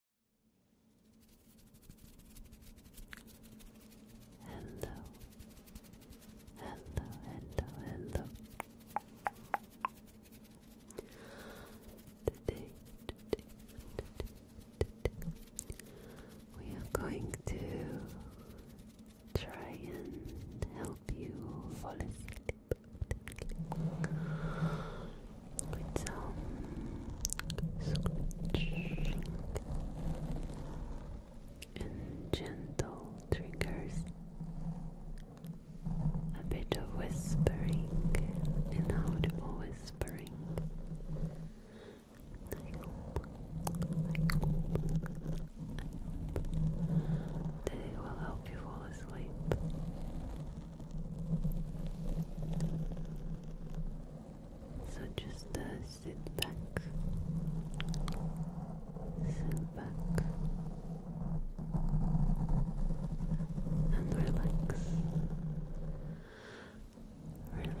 Hello, hello, hello, hello. we are going to try and help you fall asleep with some scratching and gentle triggers, a bit of whispering, inaudible whispering. I will help you fall asleep. So just uh, sit back, sit back, and relax, relax, relax.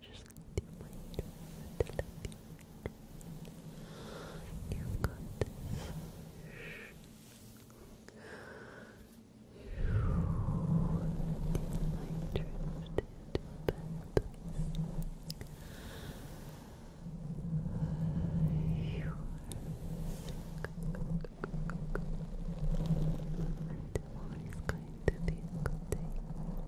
Just let your mind to let your mind. You've got this. Your mind drifted to you and always going to be a good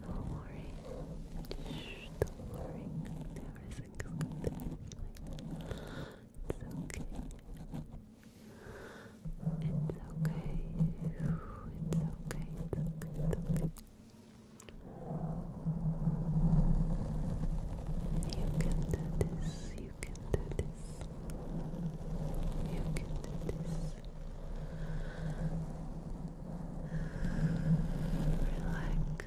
Don't worry. Shh, don't worry. There is okay. It's okay. It's okay. It's okay. It's okay. You can do this. You can do this. You can do this. Relax.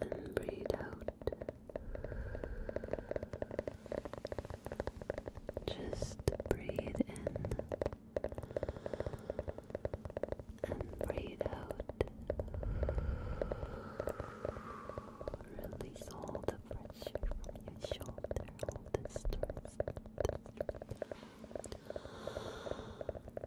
and breathe out. Just breathe in and breathe out. Release all the pressure from your shoulder, all the stress.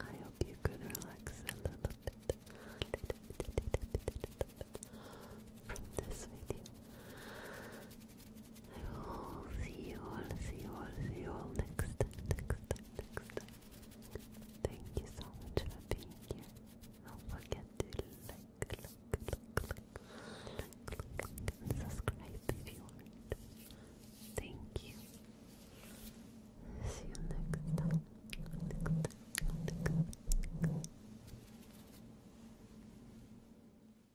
I hope you could relax a little bit from this video. I will see you all, see you all, see you all next next next Thank you so much for being here. Don't forget to like, like, like, like, like, and subscribe if you want. Thank you. See you next